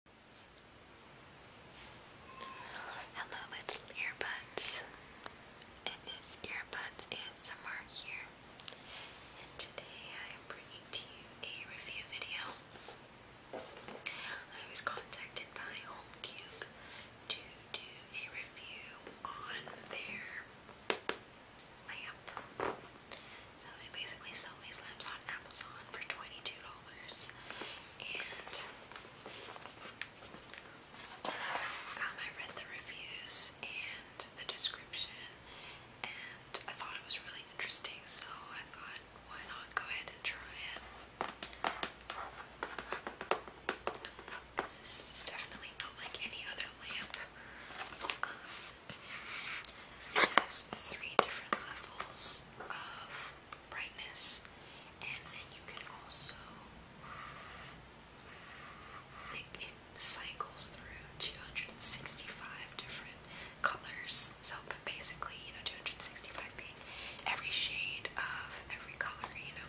Hello, my little earbuds. It is Earbuds ASMR here, and today I am bringing to you a review video. I was contacted by HomeCube to do a review on their lamp. So they basically sell these lamps on Amazon for $22. Um, I read the reviews and the description, and I thought it was really interesting, so I thought, why not go ahead and try it? this is definitely not like any other lamp. Um, it has three different levels of brightness, and then you can also it cycles through 265 different colors. So, but basically, you know, 265 being every shade of every color, you know.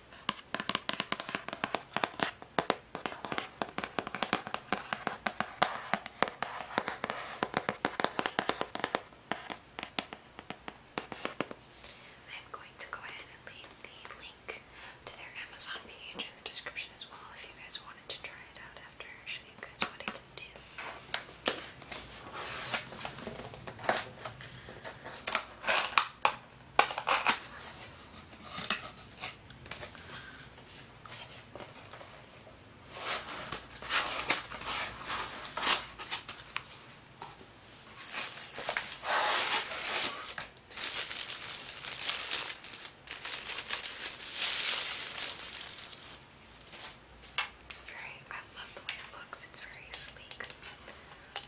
I'm going to go ahead and leave the link to their Amazon page in the description as well if you guys wanted to try it out after show you guys what I can do. It's very, I love the way it looks, it's very sleek.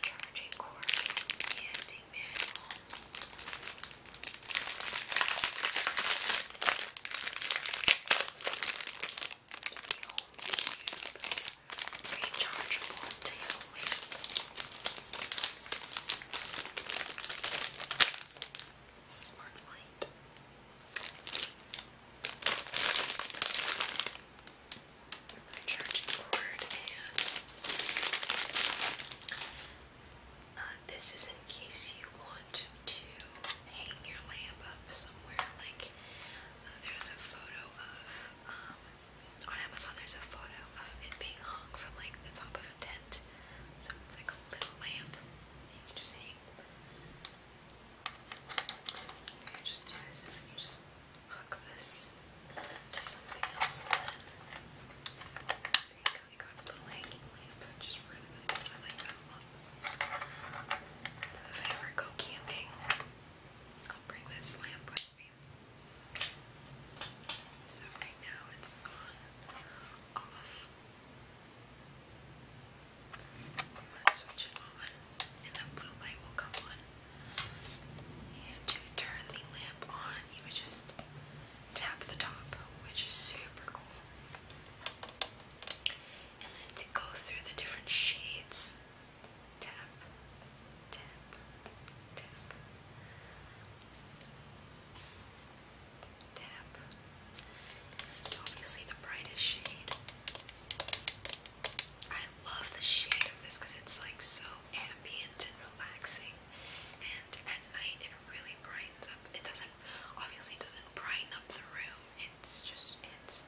Charging cord and manual. That is the rechargeable tail whip. Smart light my uh, this is in case you want to hang your lamp up somewhere. Like uh, there's a photo of um, on Amazon. There's a photo of it being hung from like the top of a tent, so it's like a little lamp you can just hang. You just do this, and you just hook this to something else then there you got a little hanging lamp, which really, really I like that if I ever go camping, I'll bring this lamp with me. So right now it's on off. I'm gonna switch it on and the blue light will come on. to turn the lamp on, you would just tap the top, which is super cool. And then to go through the different shades, tap, tap, tap, tap. This is obviously the brightest shade. I love the shade of this because it's like so ambient and relaxing and at night it really brightens up. It doesn't obviously it doesn't brighten up the room. It's just it's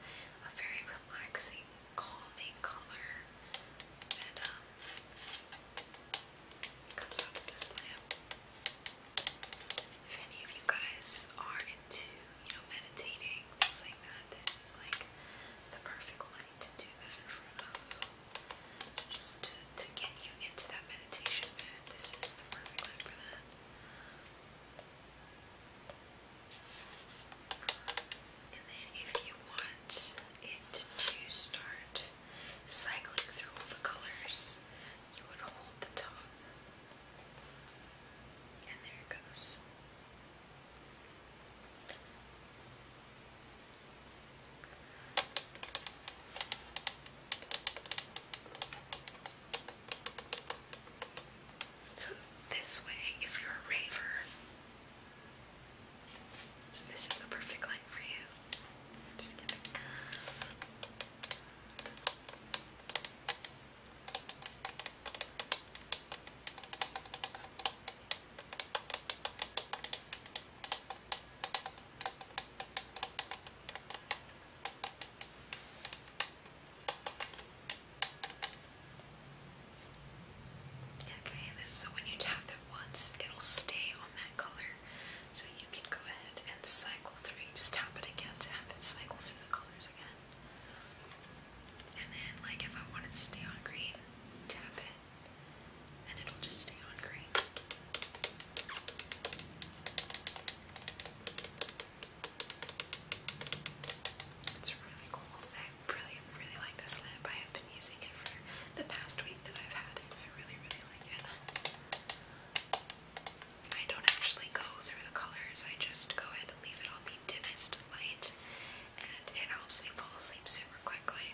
a very relaxing, calming color that um, comes out this lamp. If any of you guys are into, you know, meditating lighting, like that. This is like the perfect lighting to do that in front Just to, to get you into that meditation mood. This is the perfect light for that. And then if you want it to start cycling through all the colors, you would hold the top. And there it goes. So, this way, if you're a raver, this is the perfect light for you. Just kidding. Okay, so when you tap it once, it'll stay on that color. So you can go ahead and cycle through. just tap it again to have it cycle through the colors again. And then, like, if I wanted to stay on green, tap it, and it'll just stay on green. It's really cool. I really, really like this lamp. I have been using it for the past week that I've had it. I really, really like it. I don't actually go through the colors, I just go ahead and leave it on the dimmest light and it helps me fall asleep super quickly.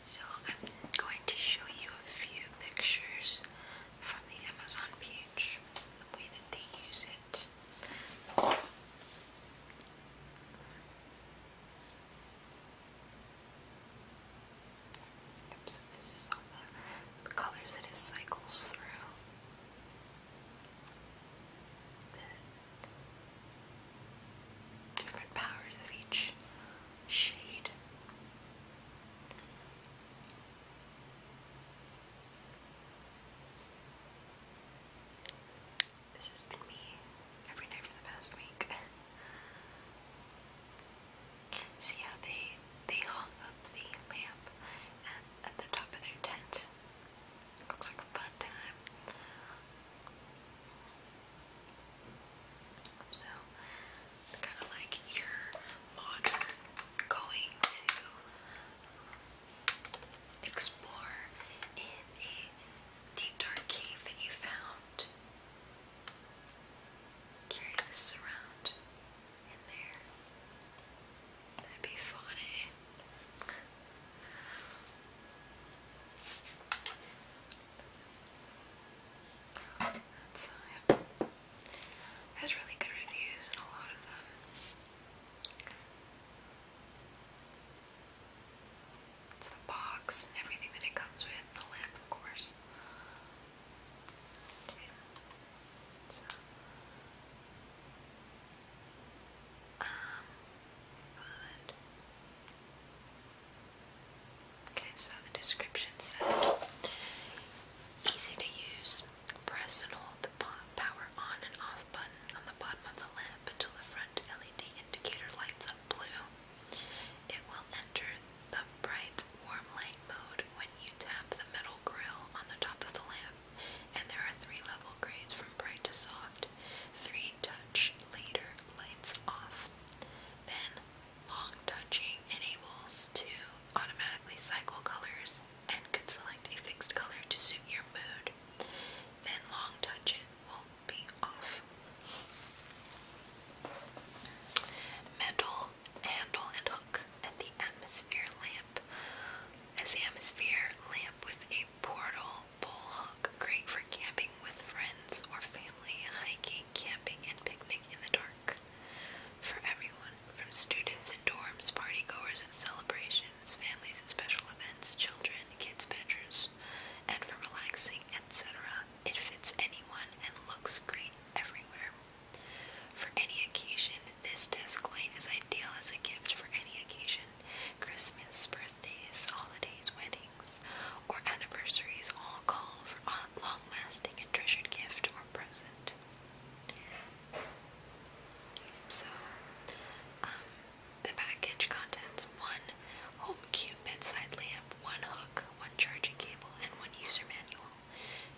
So, I'm going to show you a few pictures from the Amazon page, the way that they use it. So, this is all the, colors that it cycles through different powers of each shade. This has been me every day for the past week. See how they they hung up the lamp at, at the top of their tent. Looks like a fun time. So, kind of like your modern going to um, explore in a deep dark cave that you found. Carry this around in there. That'd be funny. Eh? Uh, has really good reviews and a lot of them. It's the box and everything that it comes with, the lamp, of course. Um, okay, so the description says easy to use. Press and hold the power on and off button on the bottom of the lamp until the front LED indicator lights up blue. It will enter the bright warm light mode when you tap the metal grill on the top of the lamp. And there are three level grades from bright to soft. 3 touch later lights off. Then, long touching enables to automatically cycle colors and could select a fixed color to suit your mood. Then, long touching will be off. Metal handle and hook at the atmosphere lamp. As the atmosphere lamp with a portal pole hook, great for camping with friends or family, hiking, camping, and picnic in the dark. For everyone, from students and dorms, partygoers and celebrations, families and special events, children, kids' bedrooms, and for relaxing, etc. It fits anyone and looks great everywhere. For any occasion, this desk light is ideal as a gift for any occasion. Christmas, birthdays, holidays, weddings, or anniversaries all call for a long lasting and treasured gift or present. So, um, the package contents one home cube bedside lamp, one hook, one charging cable, and one user manual.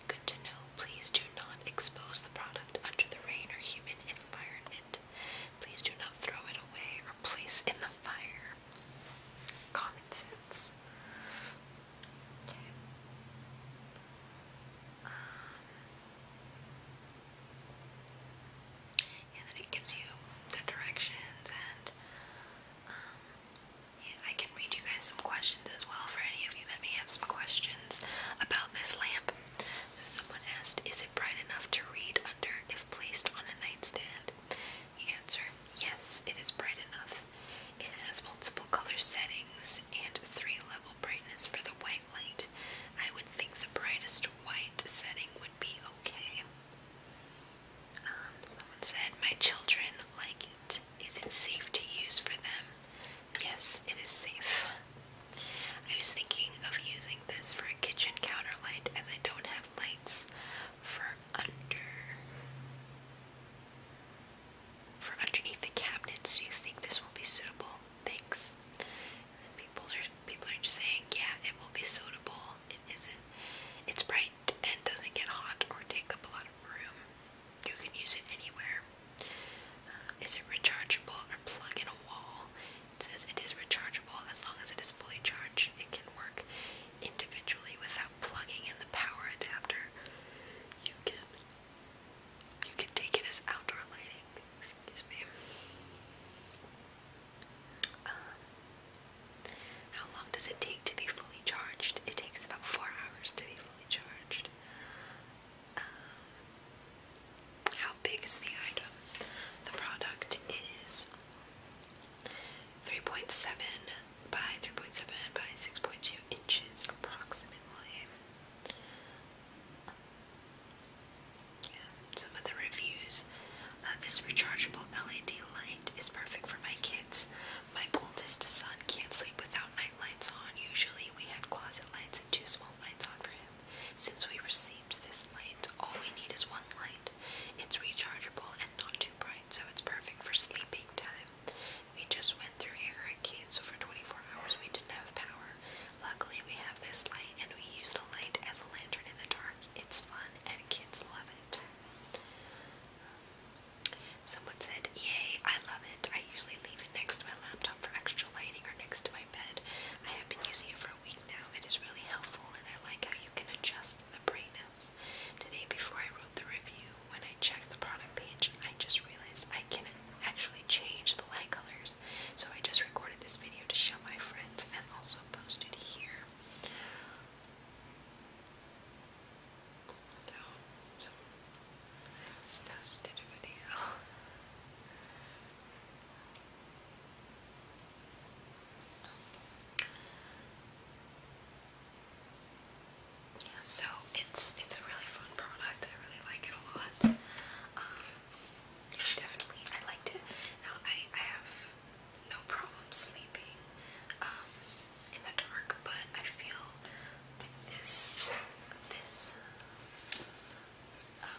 Good to know, please do not expose the product under the rain or humid environment. Please do not throw it away or place in the fire. Common sense. Okay. Um, then it gives you the directions and um, I can read you guys some questions as well for any of you that may have some questions about this lamp. So someone asked, is bright enough to read under if placed on a nightstand? Answer Yes, it is bright enough. It has multiple color settings and three level brightness for the white light. I would think the brightest white setting would be okay. Um, someone said, My children like it. Is it safe to use for them? Yes, it is safe. I was thinking of using this for a kitchen counter light as I don't have lights for under for underneath the cabinets. Do you think this will be suitable? Thanks. people are people are just saying, yeah, it will be suitable. It isn't. It's bright and doesn't get hot or take up a lot of room. You can use it anywhere. Uh, is it rechargeable or plug in a wall? It says it is rechargeable as long as it is fully charged. It can work individually without plugging in the power adapter. You can you can take it as outdoor lighting. Excuse me. Um, how long does it take to be fully charged? It takes about four hours to be fully charged how big is the item? The product is 3.7 by 3.7 by 6.2 inches approximately. Yeah, some of the reviews. Uh, this rechargeable LED light is perfect for my kids. My oldest son can't sleep without night lights on. Usually we had closet lights and two small lights on for him. Since we received this light, all we need is one light. It's rechargeable and not too bright, so it's perfect for sleeping time. We just went through a hurricane, so for 24 hours we didn't have power. Luckily, we have this light, and we use the light as a lantern in the dark. It's fun, and kids love it. Someone said, Yay, I love it. I usually leave it next to my laptop for extra lighting or next to my bed. I have been using it for a week now. It is really helpful and I like how you can adjust the brightness. Today before I wrote the review, when I checked the product page, I just realized I can actually change the light colors. So I just recorded this video to show my friends and also post it here. So, so video so it's it's a really fun product. I really like it a lot. Um, definitely, I liked it. Now I I have no problem sleeping um, in the dark, but I feel with this this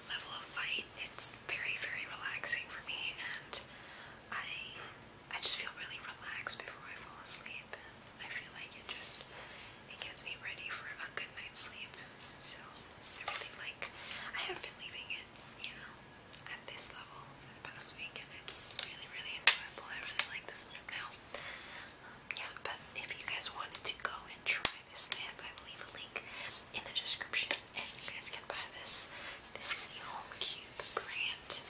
level of light, it's very, very relaxing for me, and I, I just feel really relaxed before I fall asleep, and I feel like it just, it gets me ready for a good night's sleep, so I really like, I have been leaving it, you know, at this level for the past week, and it's really, really enjoyable, I really like this loop now, um, yeah, but if you guys wanted to go try this lamp. I will leave a link in the description and you guys can buy this. This is the Home Cube brand.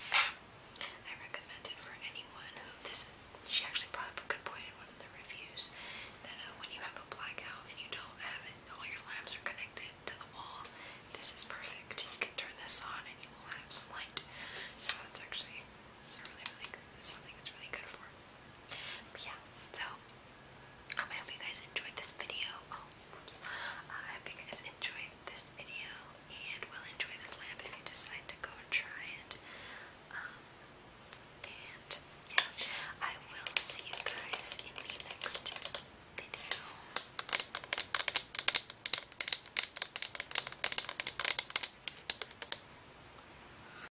I recommend it for anyone who this she actually brought up a good point in one of the reviews that uh, when you have a blackout and you don't have it all your lamps are connected to the wall. This is perfect. You can turn this on and you will have some light. So that's actually really really good. something that's really good for. But yeah, so I hope you guys enjoyed this video. Oh, I hope you guys enjoyed this video and will enjoy this lamp if you decide to go try it. Um, and yeah, I will see you guys in the next video.